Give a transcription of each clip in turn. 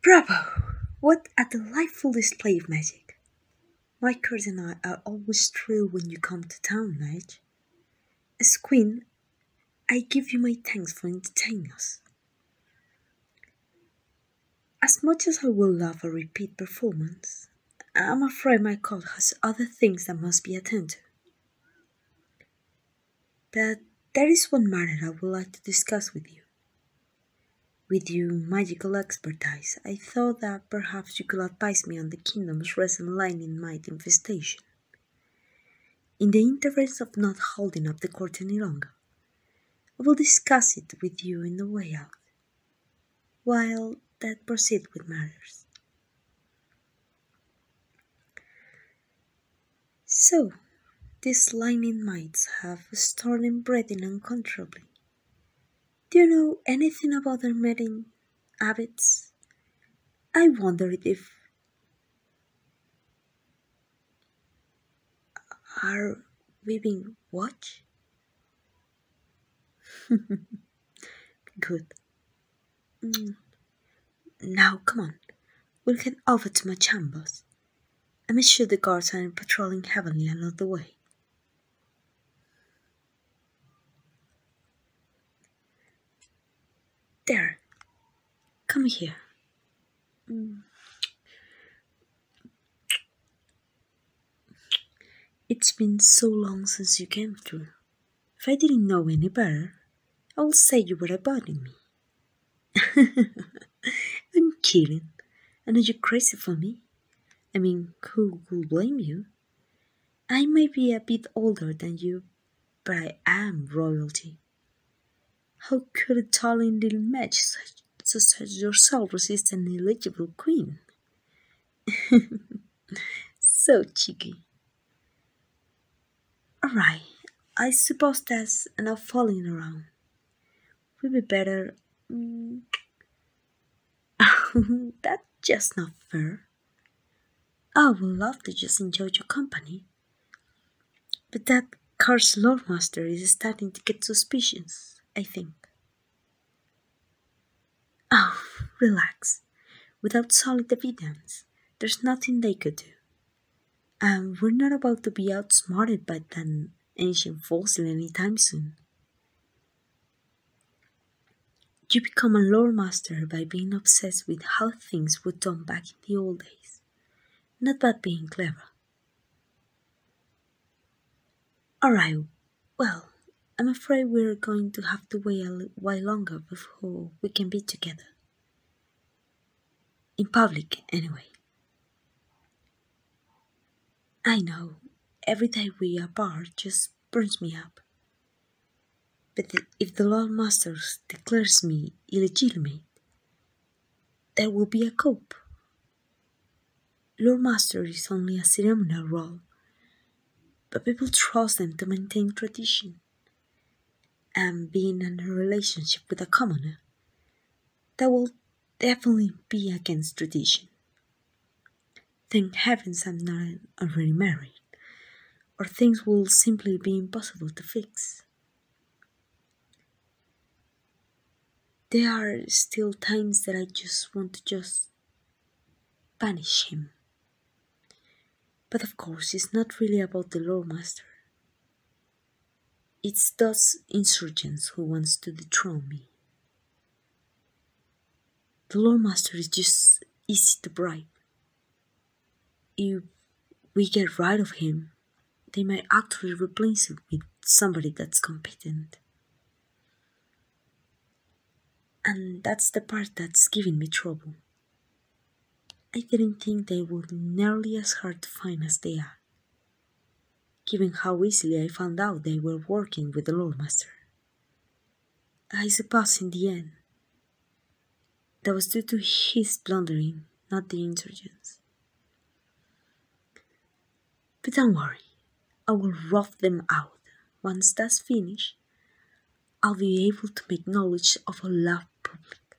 Bravo! What a delightful display of magic. My curds and I are always thrilled when you come to town, Madge. As queen, I give you my thanks for entertaining us. As much as I will love a repeat performance, I'm afraid my court has other things that must be attended to. But there is one matter I would like to discuss with you. With your magical expertise, I thought that perhaps you could advise me on the kingdom's recent in might infestation. In the interest of not holding up the court any longer, I will discuss it with you in the way out, while that proceeds with matters. So, these liming mites have started breathing uncontrollably. Do you know anything about their mating habits? I wondered if are we being watched? Good. Mm. Now, come on, we'll head over to my chambers. I am sure the guards are patrolling heavily along the way. There, come here. Mm. It's been so long since you came through. If I didn't know any better, I would say you were avoiding me. I'm kidding. And are you crazy for me? I mean, who would blame you? I may be a bit older than you, but I am royalty. How could a tall and little match such, such as yourself resist an eligible queen? so cheeky. Alright, I suppose that's enough falling around. We'd be better. Mm, that's just not fair. I would love to just enjoy your company. But that car's lord master is starting to get suspicious, I think. Oh, relax. Without solid evidence, there's nothing they could do. And um, we're not about to be outsmarted by that ancient any time soon. You become a lore master by being obsessed with how things were done back in the old days, not by being clever. Alright, well, I'm afraid we're going to have to wait a while longer before we can be together. In public, anyway. I know, every day we are apart just burns me up. But if the Lord Masters declares me illegitimate, there will be a coup. Lord Master is only a ceremonial role, but people trust them to maintain tradition and being in a relationship with a commoner, that will definitely be against tradition. Thank heavens I'm not already married, or things will simply be impossible to fix. There are still times that I just want to just punish him. But of course, it's not really about the lawmaster. It's those insurgents who wants to dethrone me. The lawmaster is just easy to bribe. If we get rid of him, they might actually replace him with somebody that's competent. And that's the part that's giving me trouble. I didn't think they were nearly as hard to find as they are, given how easily I found out they were working with the Lordmaster. I suppose in the end, that was due to his blundering, not the insurgents. But don't worry, I will rough them out. Once that's finished, I'll be able to make knowledge of all love public.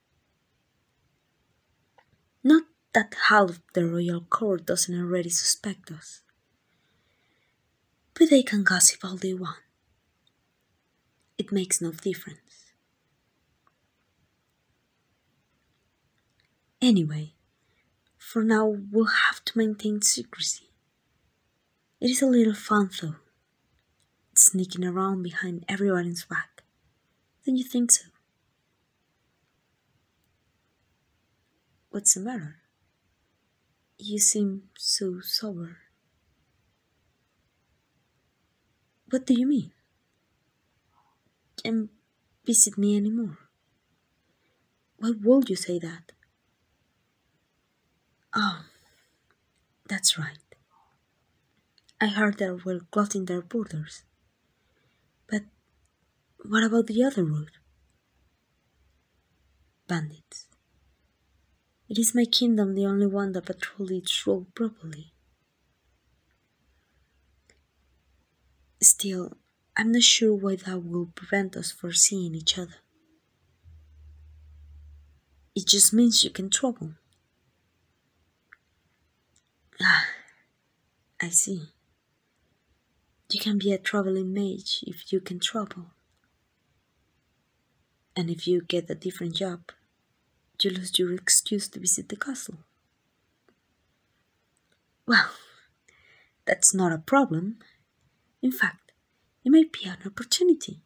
Not that half the royal court doesn't already suspect us, but they can gossip all they want. It makes no difference. Anyway, for now we'll have to maintain secrecy. It is a little fun though sneaking around behind everyone's back. Don't you think so? What's the matter? You seem so sober. What do you mean? Can't visit me anymore. Why would you say that? Oh, that's right. I heard there were closing their borders. But what about the other road? Bandits. It is my kingdom the only one that patrols its road properly. Still, I'm not sure why that will prevent us from seeing each other. It just means you can travel Ah, I see. You can be a traveling mage if you can travel. And if you get a different job, you lose your excuse to visit the castle. Well, that's not a problem. In fact, it may be an opportunity.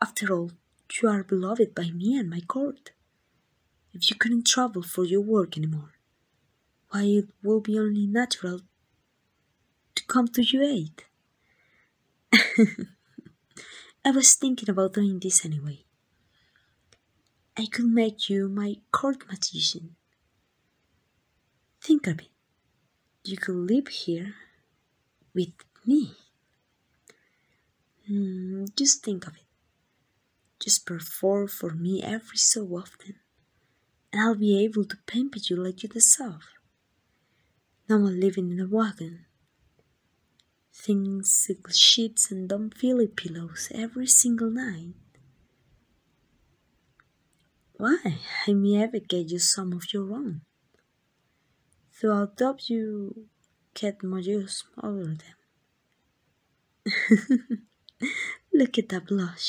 After all, you are beloved by me and my court. If you couldn't travel for your work any more, why it will be only natural to come to your aid. I was thinking about doing this anyway. I could make you my court magician. Think of it. You could live here with me Hmm, just think of it. Just perform for me every so often, and I'll be able to pamper you like you deserve. No one living in a wagon. Thin silk sheets and dumb filly pillows every single night. Why, I may ever get you some of your own. So I'll adopt you cat magician. Look at that blush.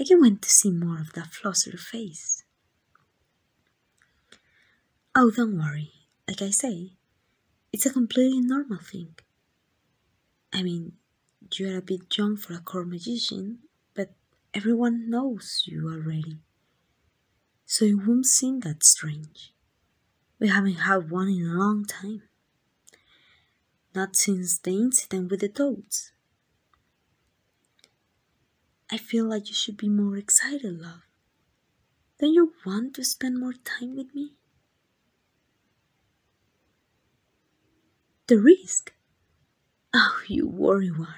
I can not wait to see more of that flosser face. Oh, don't worry. Like I say, it's a completely normal thing. I mean, you are a bit young for a core magician, but everyone knows you already so it won't seem that strange. We haven't had one in a long time. Not since the incident with the toads. I feel like you should be more excited, love. Don't you want to spend more time with me? The risk? Oh, you worrywart.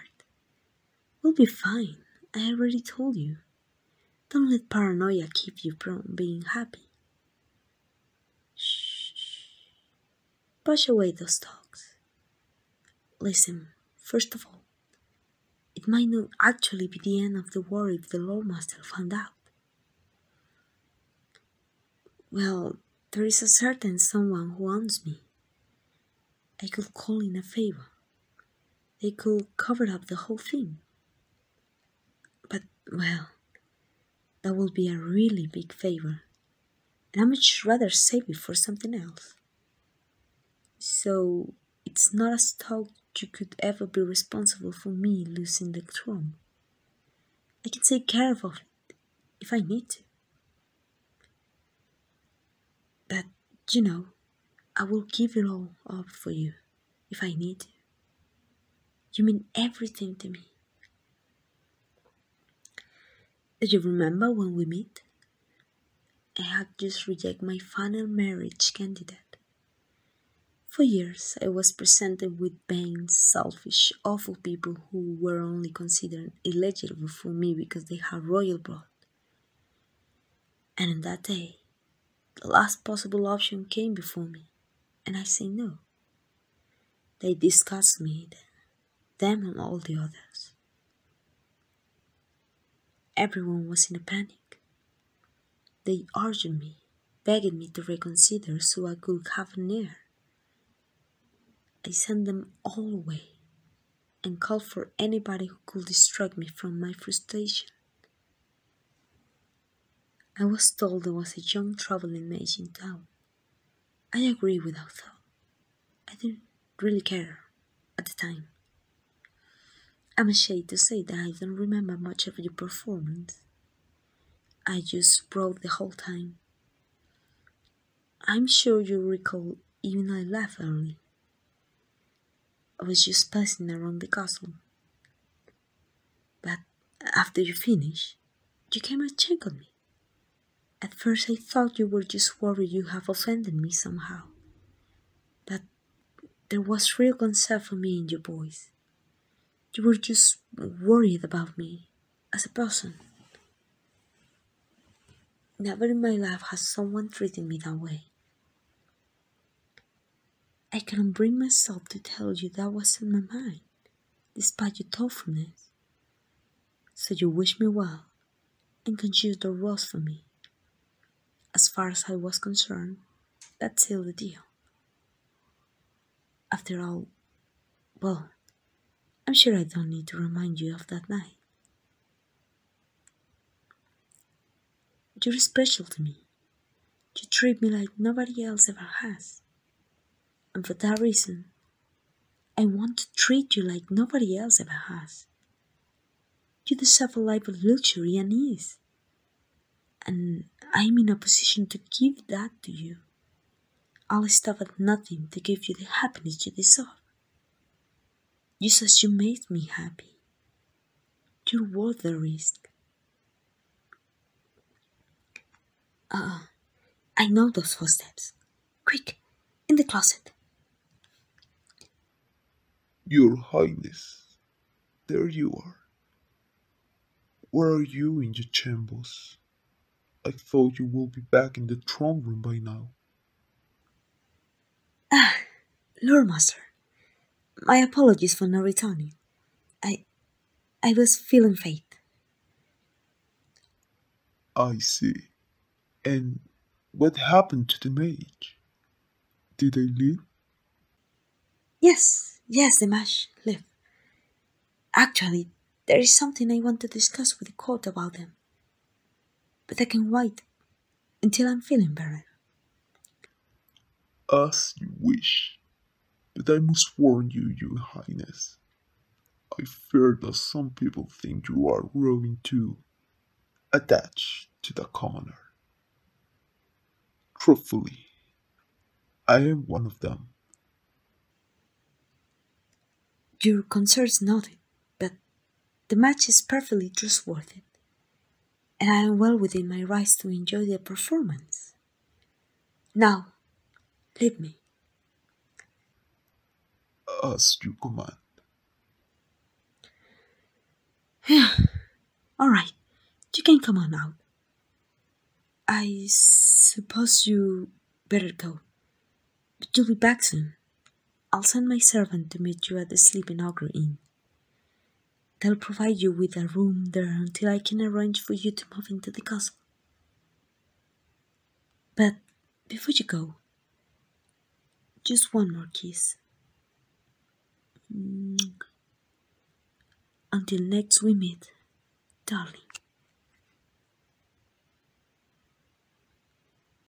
We'll be fine, I already told you. Don't let paranoia keep you from being happy. Shh. Push away those thoughts. Listen, first of all, it might not actually be the end of the war if the Lawmaster found out. Well, there is a certain someone who wants me. I could call in a favor. They could cover up the whole thing. But, well, that would be a really big favor. And I'd much rather save it for something else. So, it's not as though you could ever be responsible for me losing the throne. I can take care of it if I need to. But you know, I will give it all up for you if I need to. You mean everything to me. Do you remember when we met? I had just rejected my final marriage candidate. For years, I was presented with vain, selfish, awful people who were only considered eligible for me because they had royal blood. And in that day, the last possible option came before me, and I said no. They discussed me, them and all the others. Everyone was in a panic. They urged me, begged me to reconsider so I could have an heir. I sent them all away, and called for anybody who could distract me from my frustration. I was told there was a young traveling mage in town. I agreed without thought. I didn't really care at the time. I'm ashamed to say that I don't remember much of your performance. I just wrote the whole time. I'm sure you recall even I laughed early. I was just passing around the castle. But after you finished, you came and checked on me. At first I thought you were just worried you have offended me somehow. But there was real concern for me in your voice. You were just worried about me as a person. Never in my life has someone treated me that way. I cannot bring myself to tell you that was in my mind, despite your thoughtfulness. So you wish me well and can choose the rose for me. As far as I was concerned, that's still the deal. After all, well, I'm sure I don't need to remind you of that night. You're special to me. You treat me like nobody else ever has. And for that reason, I want to treat you like nobody else ever has. You deserve a life of luxury and ease. And I'm in a position to give that to you. I'll stop at nothing to give you the happiness you deserve. Jesus, you made me happy. You're worth the risk. Ah, I know those footsteps. Quick, in the closet. Your Highness, there you are. Where are you in your chambers? I thought you would be back in the throne room by now. Ah, Lord Master, my apologies for not I, I was feeling faint. I see. And what happened to the mage? Did they leave? Yes, yes, the mage left. Actually, there is something I want to discuss with the court about them. But I can wait until I'm feeling better. As you wish, but I must warn you, Your Highness. I fear that some people think you are growing too attached to the commoner. Truthfully, I am one of them. Your concerns nothing, but the match is perfectly trustworthy, and I am well within my rights to enjoy the performance. Now, leave me. As you command. All right, you can come on out. I suppose you better go. But you'll be back soon. I'll send my servant to meet you at the Sleeping Ogre Inn. They'll provide you with a room there until I can arrange for you to move into the castle. But before you go, just one more kiss. Mm. Until next we meet, darling.